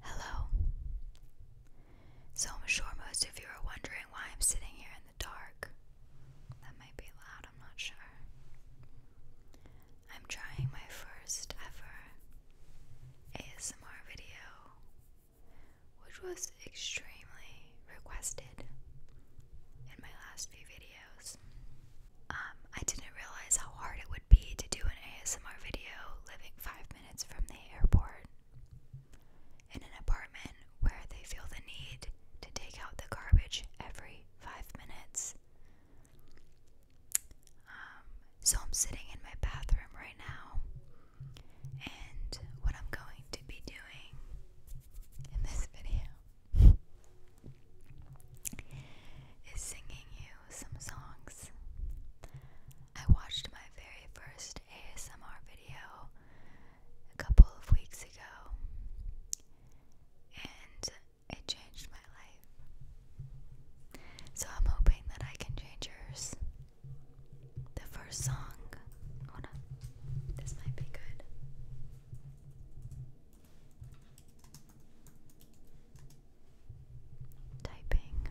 Hello. So I'm sure most of you are wondering why I'm sitting here in the dark. That might be loud, I'm not sure. I'm trying my first ever ASMR video, which was extremely requested in my last few videos. Um, I didn't realize how hard it would be to do an ASMR video living five minutes from the airport, in an apartment where they feel the need to take out the garbage every five minutes. Um, so I'm sitting in my bathroom right now, and what I'm going to be doing in this video is singing you some songs. I watched my very first ASMR video a couple of weeks ago, and it changed my life. So I'm hoping that I can change yours. The first song. Hold on. This might be good typing.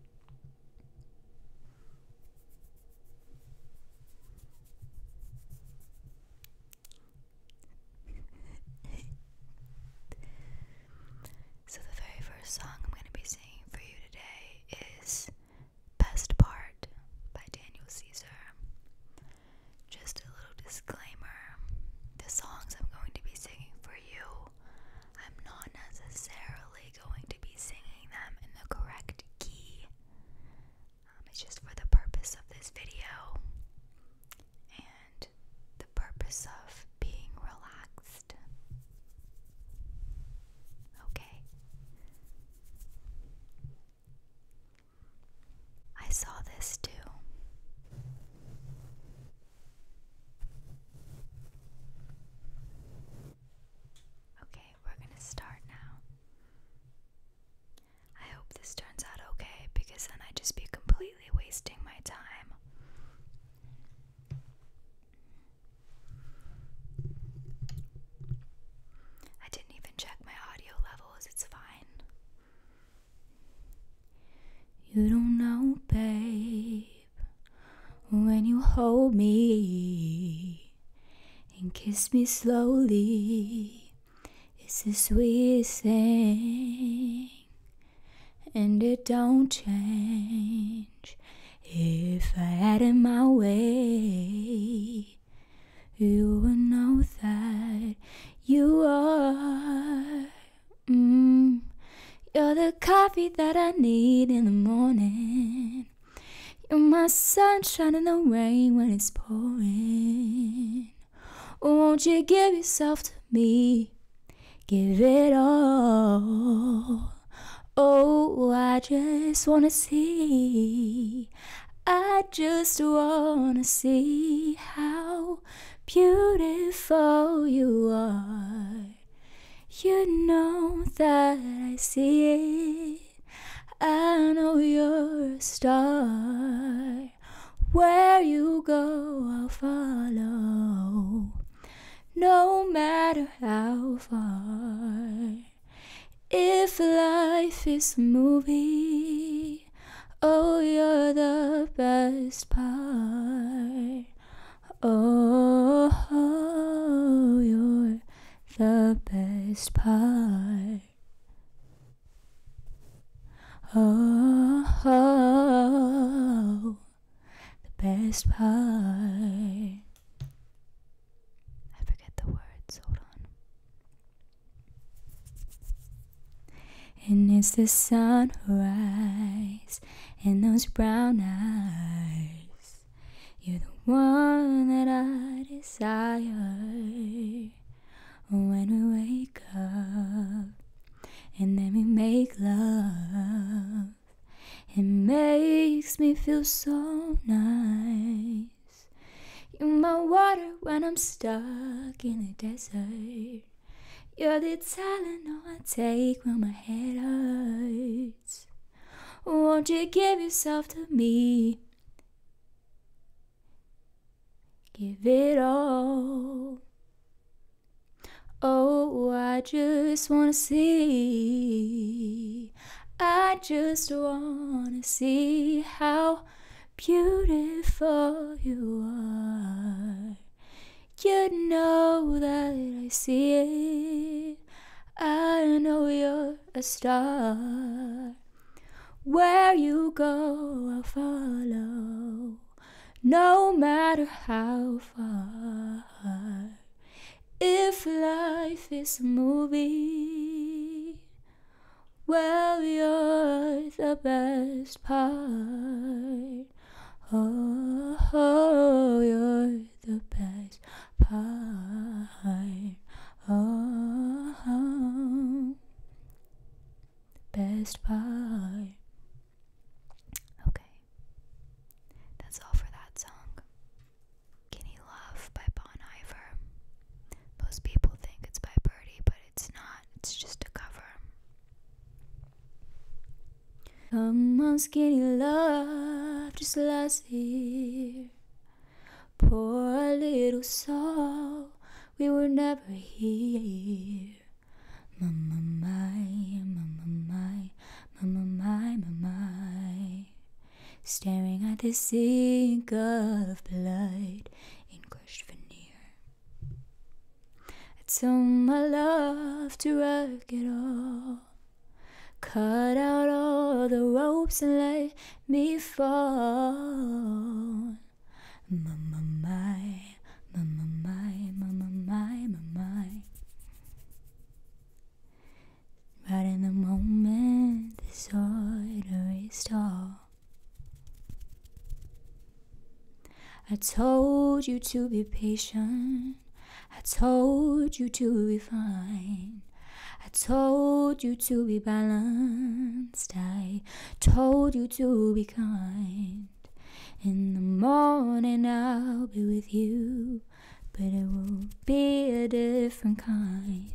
so, the very first song I'm going to be singing for you today is Best Part by Daniel Caesar. Just a disclaimer the songs I'm going to be singing for you, I'm not necessarily going to be singing them in the correct key. Um, it's just for the purpose of this video and the purpose of being relaxed. Okay. I saw this too. Okay, we're gonna start now. I hope this turns out okay because then I'd just be completely wasting my time. I didn't even check my audio levels, it's fine. You don't know, babe, when you hold me and kiss me slowly. It's the we sing, and it don't change. If I had it my way, you would know that you are Mm. You're the coffee that I need in the morning. You're my sunshine in the rain when it's pouring. Won't you give yourself to me? Give it all. Oh, I just wanna see. I just wanna see how beautiful you are. You know that I see it. I know you're a star. Where you go, I'll follow. No matter how far. If life is a movie, Oh, you're the best part. Oh, oh you're the best part. Oh, oh, the best part. I forget the words. Hold on. And as the sun rises and those brown eyes, you're the one that I desire. When we wake up and then we make love, it makes me feel so nice. You're my water when I'm stuck in the desert. You're the Tylenol I take when my head hurts. Won't you give yourself to me? Give it all. Oh, I just wanna see. I just wanna see how beautiful you are. You know that I see it. I know you're a star. Where you go, I'll follow, no matter how far. If life is a movie, well, you're the best part. Oh, oh you're the best part. Oh, oh. best part. Okay. That's all for that song. Guinea Love by Bon Iver. Most people think it's by Birdie, but it's not, it's just a cover. Come on, skinny love, just last year. Poor little soul, we were never here. Mama, mamma mama, mamma mama, my, my. Staring at the sink of blood in crushed veneer. I told my love to wreck it all. Cut out all the ropes and let me fall. Mama, my, mama, my, mama, my, mama. Right in the moment, this order is I told you to be patient. I told you to be fine. I told you to be balanced. I told you to be kind. In the morning I'll be with you, but it will be a different kind.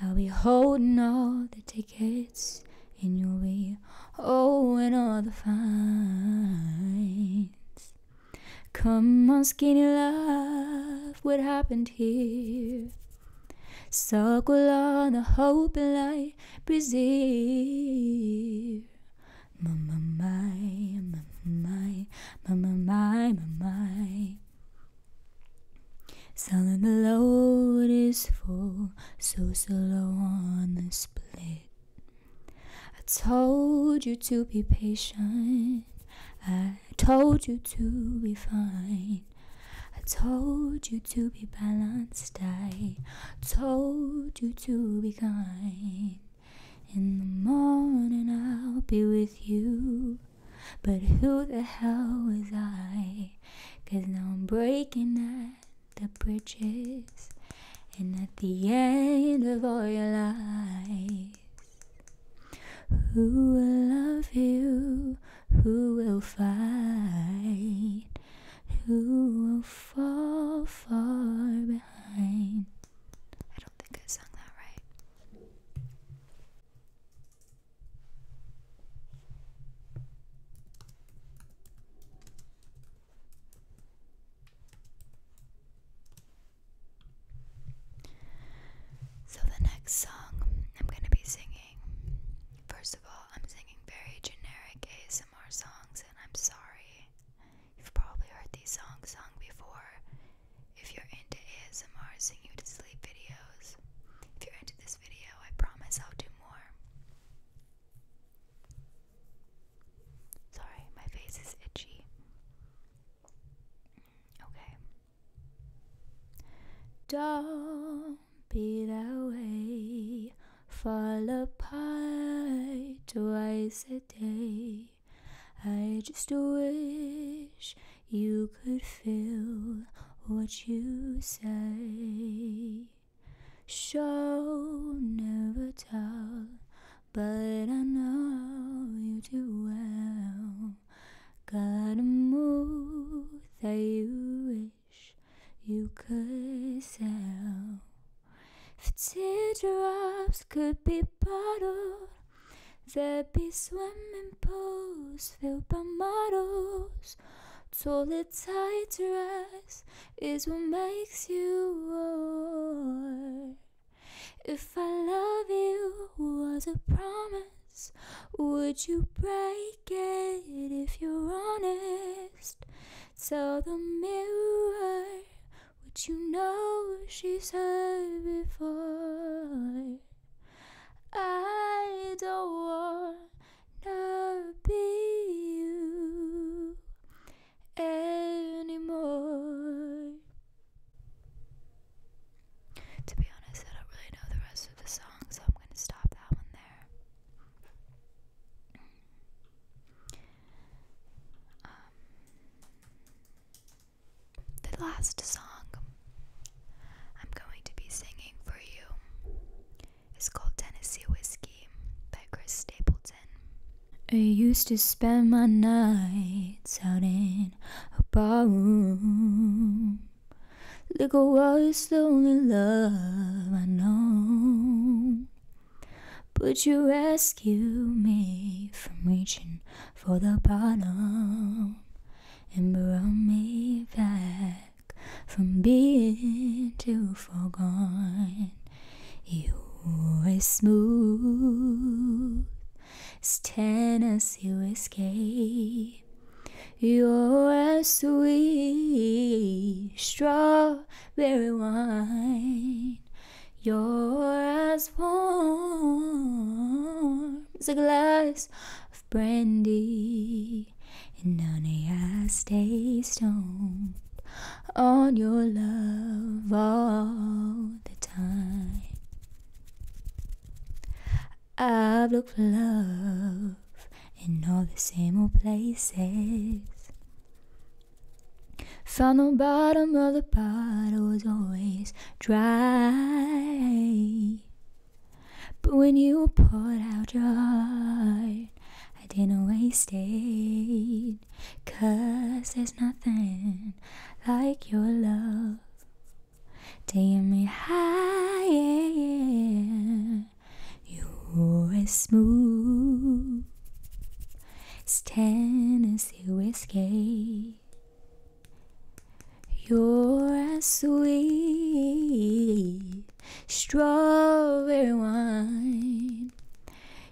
I'll be holding all the tickets gets in your way. Oh, and all the fines. Come on, skinny love, what happened here? Circle on the hope and light, preserve. My, my, my, my, my, my, my, my, my. Selling the load is full, so slow on the split. I told you to be patient, I told you to be fine. I told you to be balanced, I told you to be kind. In the morning I'll be with you, but who the hell was I? Cause now I'm breaking at the bridges and at the end of all your lies, Who will love you? Who will fight? Who will fall far behind? I don't think I sung that right. So, the next song I'm going to be singing, first of all, I'm singing very generic ASMR songs, and I'm sorry. You've probably heard these songs sung before. If you're into ASMR, sing you to sleep videos. If you're into this video, I promise I'll do more. Sorry, my face is itchy. Okay. Don't be that way. Fall apart twice a day. I just wish you could feel what you say. Show, never tell, but I know you too well. got a move that you wish you could sell. If teardrops could be bottled, there'd be swimming pools filled by models eyes. Totally tight dress is what makes you old. If I love you was a promise, would you break it if you're honest? Tell the mirror what you know she's heard before. I don't wanna be you anymore. To be honest, I don't really know the rest of the song, so I'm gonna stop that one there. Um, the last song I'm going to be singing for you. It's called Tennessee Whiskey by Chris Stapleton. I used to spend my nights out in a barroom. Liquor was oh, the only love I know. But you rescue me from reaching for the bottom and brought me back from being too forgone. You were smooth as Tennessee whiskey. You're as sweet as strawberry wine. You're as warm as a glass brandy, and none I stay stoned on your love all the time. I've looked for love in all the same old places. Found the bottom of the pot was always dry. But when you poured out your heart, I didn't waste it. Cause there's nothing like your love. Taking me higher, you are as smooth. It's Tennessee whiskey. You're as sweet strawberry wine.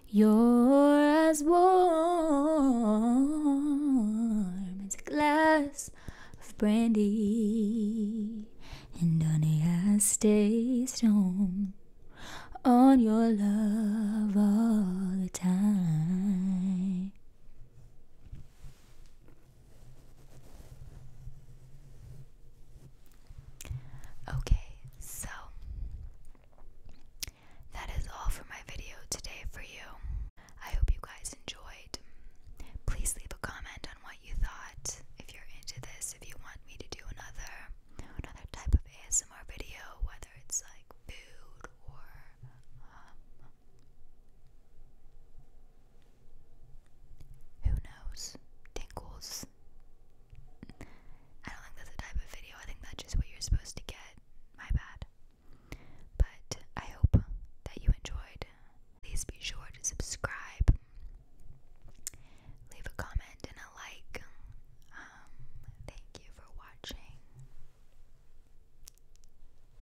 You're as warm as a glass of brandy. And honey, I stay strong on your love all the time. Okay, so that is all for my video today for you. I hope you guys enjoyed. Please leave a comment on what you thought. If you're into this, if you want me to do another another type of ASMR video, whether it's like food or um, who knows? Tingles. I don't think that's a type of video. I think that's just what you're supposed to get. My bad. But I hope that you enjoyed. Please be sure to subscribe, leave a comment, and a like. Um, thank you for watching.